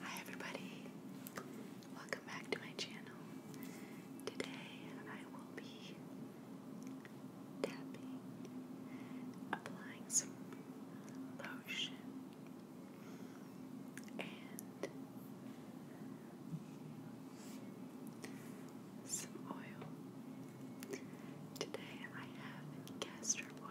Hi everybody, welcome back to my channel. Today I will be tapping, applying some lotion, and some oil Today I have castor oil.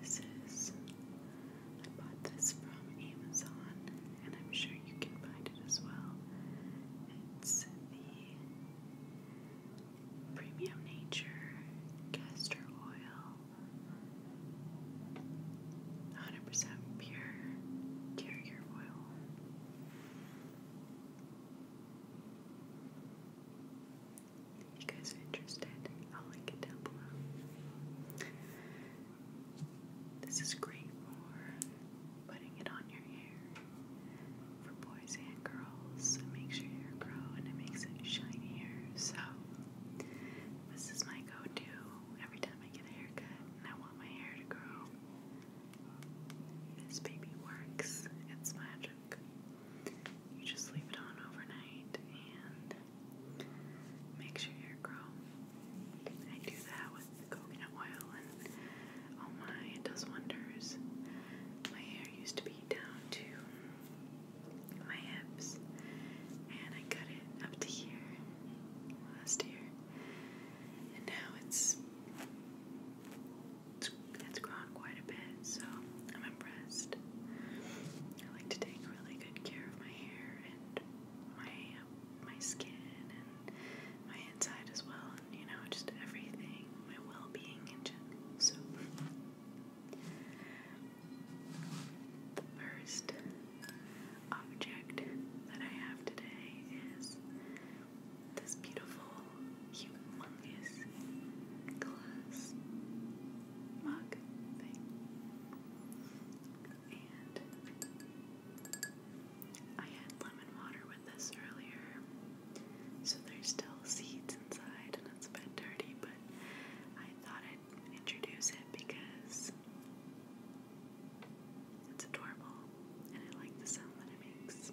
This is, I bought this from Amazon, and I'm sure you can find it as well. It's the Premium Nature Castor Oil, 100% pure carrier oil. If you guys are interested, I'll link it down below. This is great for putting it on your hair for boys and girls. It makes your hair grow and it makes it shinier. So, this is my go to every time I get a haircut and I want my hair to grow. This baby works, it's magic. You just leave it on overnight and makes your hair grow. I do that with the coconut oil and oh my, it does wonders. My hair used to be down to my hips and I cut it up to here last year. And now it's it's, it's grown quite a bit, so I'm impressed. I like to take really good care of my hair and my my skin and my inside as well, and you know, just everything, my well-being in general. So first object that I have today is this beautiful humongous glass mug thing. And I had lemon water with this earlier, so there's still seeds inside and it's a bit dirty, but I thought I'd introduce it because it's adorable and I like the sound that it makes.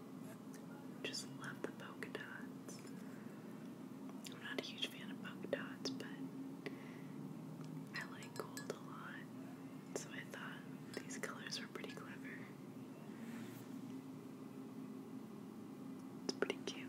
Just love the polka dots. I'm not a huge fan of polka dots, but I like gold a lot, so I thought these colors were pretty clever. It's pretty cute.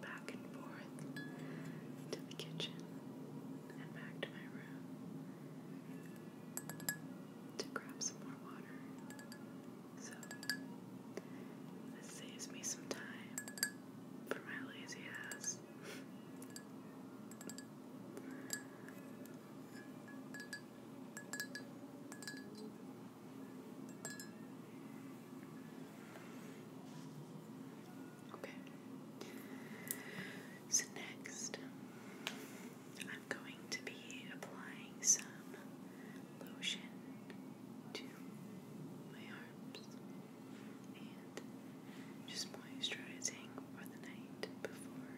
back and forth to the kitchen and back to my room to grab some more water. So, this saves me some time for my lazy ass. Okay. So next, I'm going to be applying some lotion to my arms and just moisturizing for the night before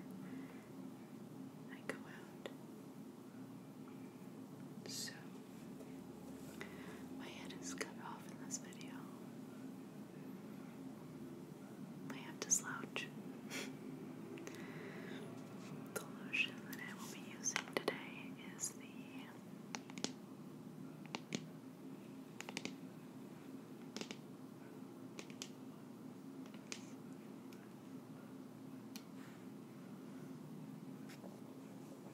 I go out. So, my head is cut off in this video. I have to slouch. the lotion that I will be using today is the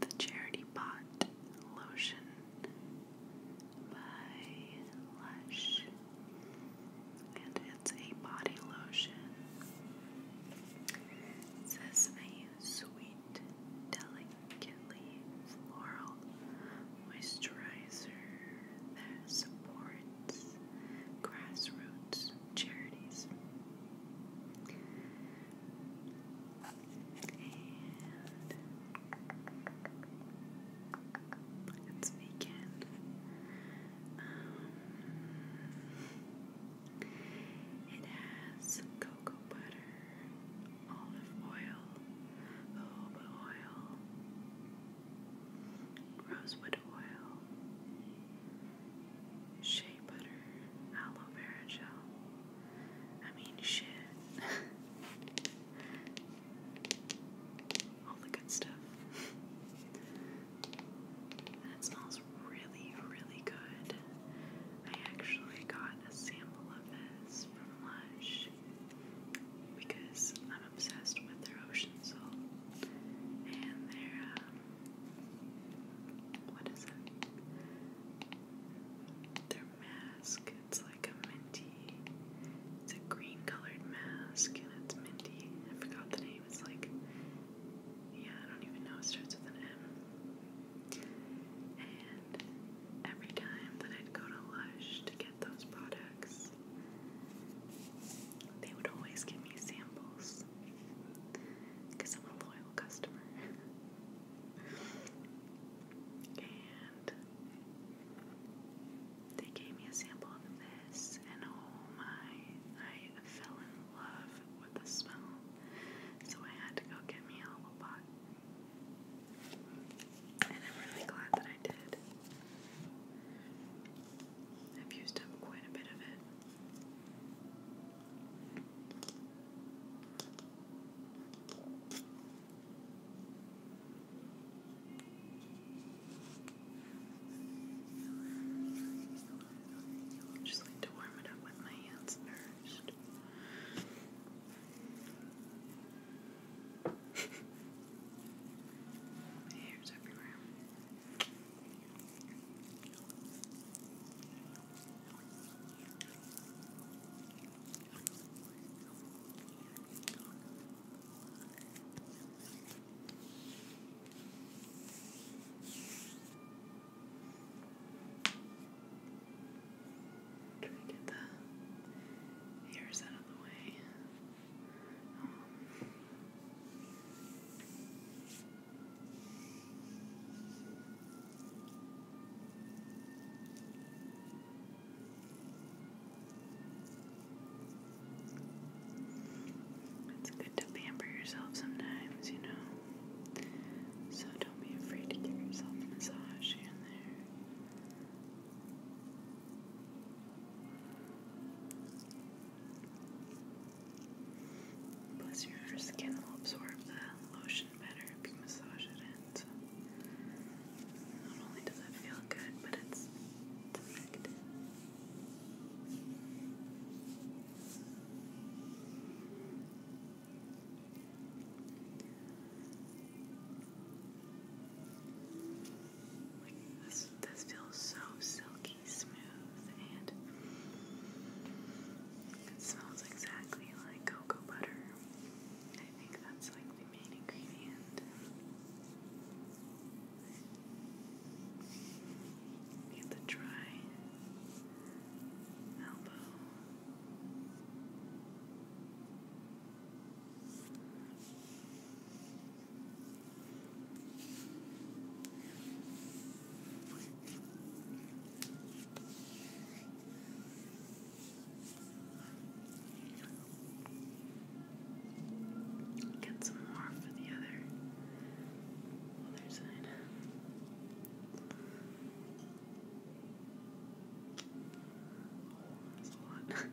The Charity Pot Lotion by Lush, and it's a body lotion. says a sweet, delicately floral moisturizer that supports grassroots charities. And it's vegan. Um, it has cocoa butter, olive oil, jojoba oil, rosewood oil, shea butter, aloe vera gel. I mean, shit. All the good stuff. and it smells really, really good. I actually got a sample of this from Lush because I'm obsessed with their ocean salt and their, um, what is it? Their mask, it's like a minty, it's a green colored mask and it's minty. I forgot the name, it's like, yeah, I don't even know, it starts with an M. And every time that I'd go to Lush to get those products, they would always give me samples because I'm a loyal customer. And they gave me a sample of this, and oh my, I fell in love with the smell. So I had to go get me a little pot. And I'm really glad that I did. I've used up quite a bit of it. Just like to warm it up with my hands first. my hair's everywhere. Try to get the hairs out of the way. Um, it's good to pamper yourself sometimes, you know. So don't be afraid to give yourself a massage in there. Plus, your skin will absorb the lotion better if you massage it in. not only does it feel good, but it's, it's Like this, this feels so silky smooth and it smells exactly like cocoa butter. I think that's like the main ingredient. Get the dry elbow. Get some more for the other other side. Oh, that's a lot.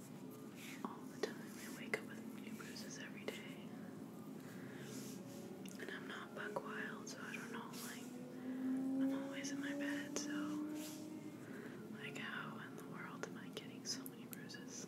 all the time. I wake up with new bruises every day. And I'm not buck wild, so I don't know, like, I'm always in my bed, so, like, how in the world am I getting so many bruises?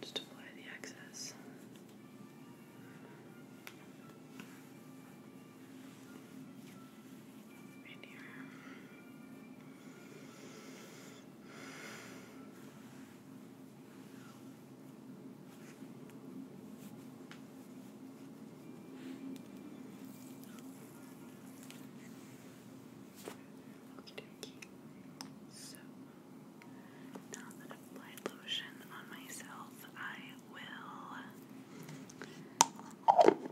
Just apply the excess. Right here. So, now that I've applied lotion on myself, I will.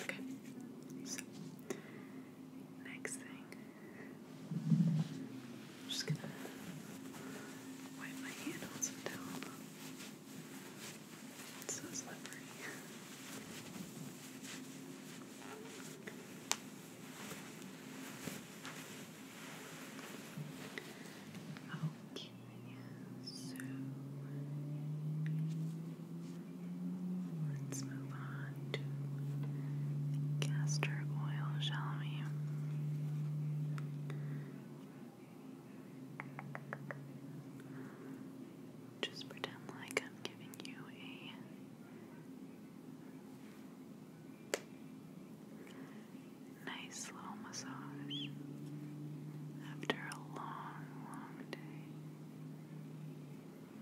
Okay. So next thing I'm just gonna wipe my hands on some towel. It's so slippery. Okay, so let's move on castor oil, shall we? Just pretend like I'm giving you a nice little massage after a long, long day.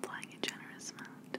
Applying a generous amount.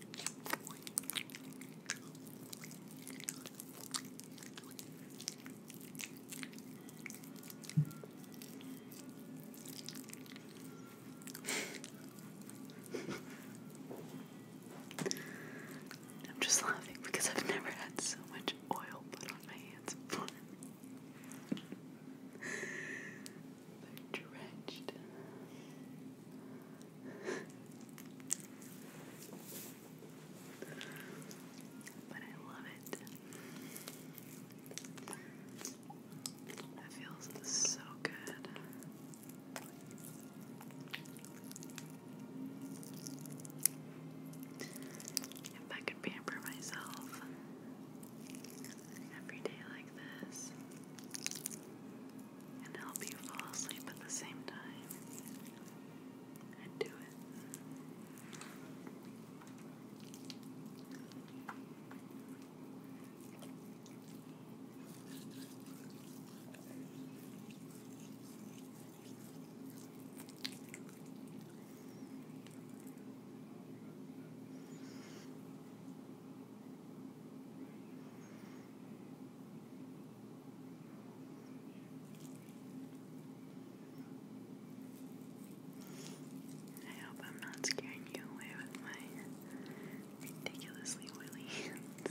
I'm just laughing because I've never had so much oil put on my hands before. They're drenched but I love it. That feels so good. If I could pamper myself every day like this, and help you fall asleep at the same time. And do it. I hope I'm not scaring you away with my ridiculously oily hands.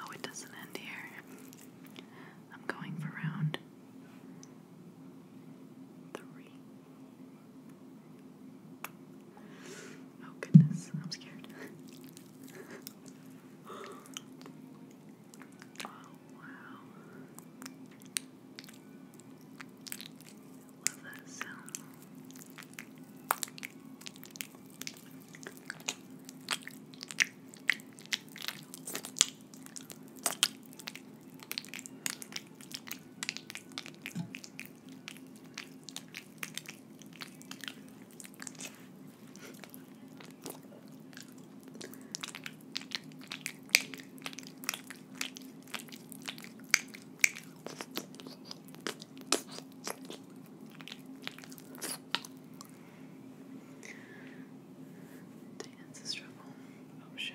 Oh, it doesn't end here. I'm going for round three. Oh, goodness, I'm scared. Oh wow. I love that sound. Dance is trouble. Oh shit.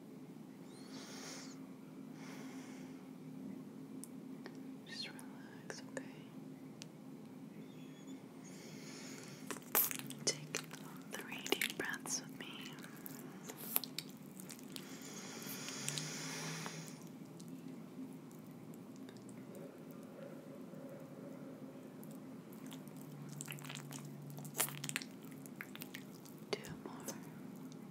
Just relax, okay? Take three deep breaths with me. Two more.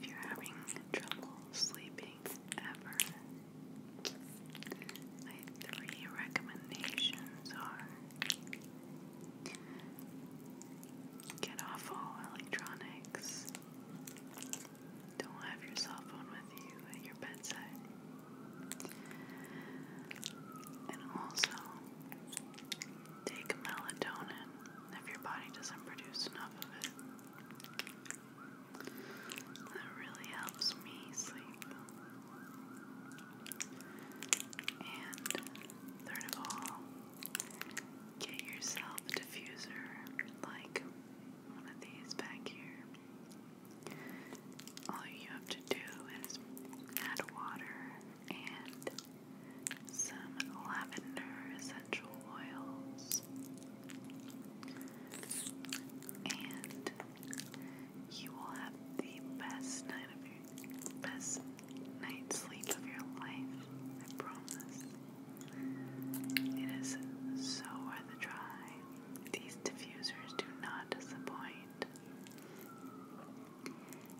If you're having trouble sleeping ever, my three recommendations are get off all electronics, don't have your cell phone with you at your bedside, and also take melatonin if your body doesn't produce enough of it. That really helps me sleep. And third of all, get yourself a diffuser like one of these back here. All you have to do is add water and some lavender essential oils, and you will have the best night of your best night's sleep of your life. I promise. It is so worth a try. These diffusers do not disappoint.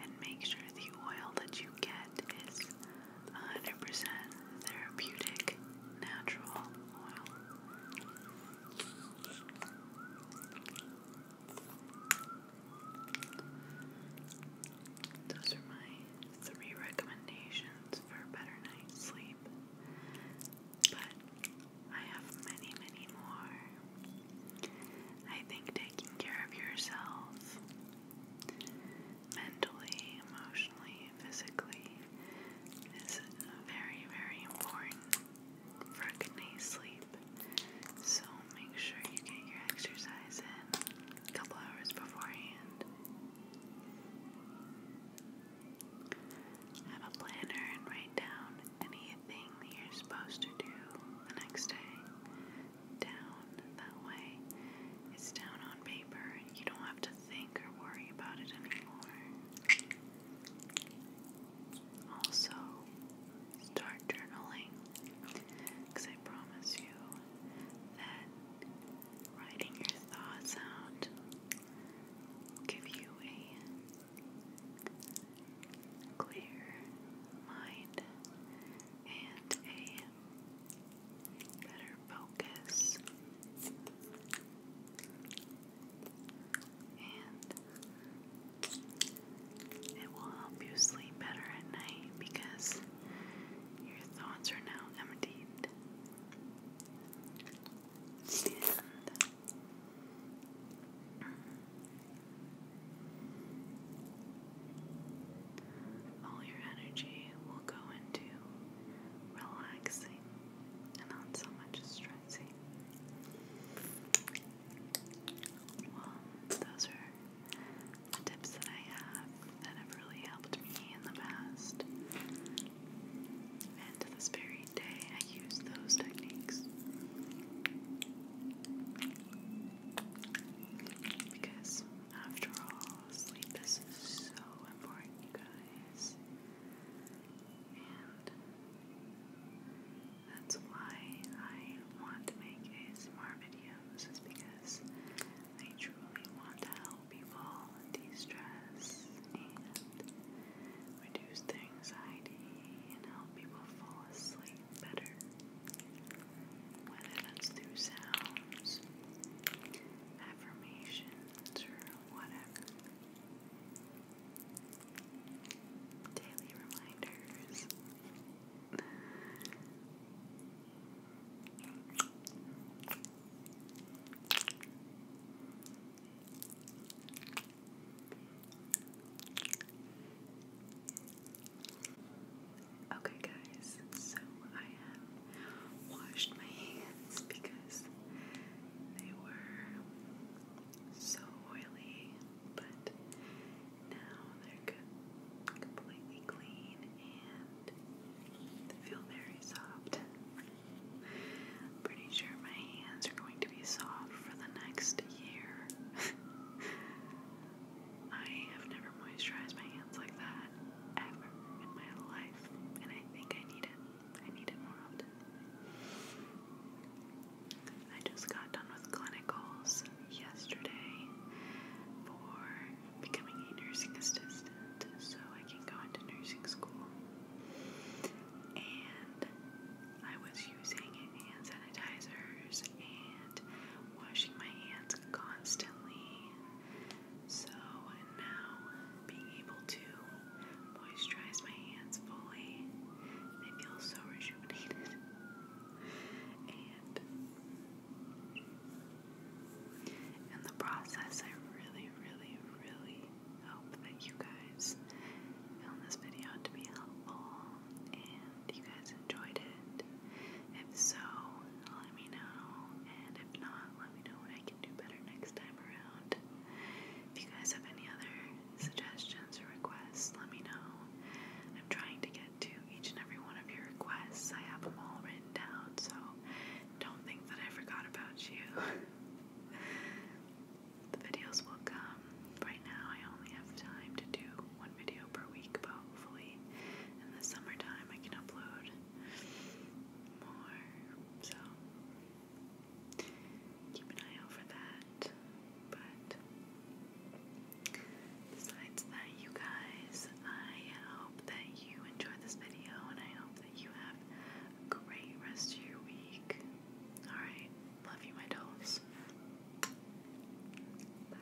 And make sure the oil that you get is 100% therapeutic natural oil. Those are my three recommendations for better night's sleep. But I have many, many more. I think taking care of yourself mentally, emotionally, physically is very, very important for a good night's sleep. So make sure you get your exercise in a couple hours beforehand. Have a planner and write down anything that you're supposed to do the next day down that way. It's down on paper. You don't have to think or worry about it anymore. Also, start journaling because I promise you that writing your thoughts out will give you a clear mind and a better focus and it will help you sleep better at night because your thoughts are now emptied. And all your energy will go into relaxing and not so much stressing. those are tips that I have that have really helped me in the past. And this very day, I use those techniques. Because, after all, fall asleep. This is so important, you guys. And that's why I want to make a ASMR This is because I truly want to help people de stress and reduce their anxiety and help people fall asleep better. Whether that's through sounds, affirmations or whatever. Daily reminders. Okay, guys, so I have washed my hands because they were so oily, but now they're good, completely clean and they feel very soft. I'm pretty sure my hands are going to be soft for the next year. I have never moisturized my hands like that ever in my life, and I think I need it. I need it more often. I just got done with clinicals yesterday for becoming a nursing assistant so I can go into nursing school. And I was using hand sanitizers and washing my hands constantly so now, being able to moisturize my hands fully, they feel so rejuvenated. And in the process, I really, really, really hope that you guys found this video to be helpful and you guys enjoyed it. If so, let me know. And if not, let me know what I can do better next time around. If you guys have any other suggestions or requests, let me know. I'm trying to get to each and every one of your requests. I have them all written down, so don't think that I forgot about you. the videos will come. Right now, I only have time to do one video per week, but hopefully in the summertime I can upload more. So keep an eye out for that. But besides that, you guys, I hope that you enjoyed this video and I hope that you have a great rest of your week. Alright, love you, my dolls. Bye.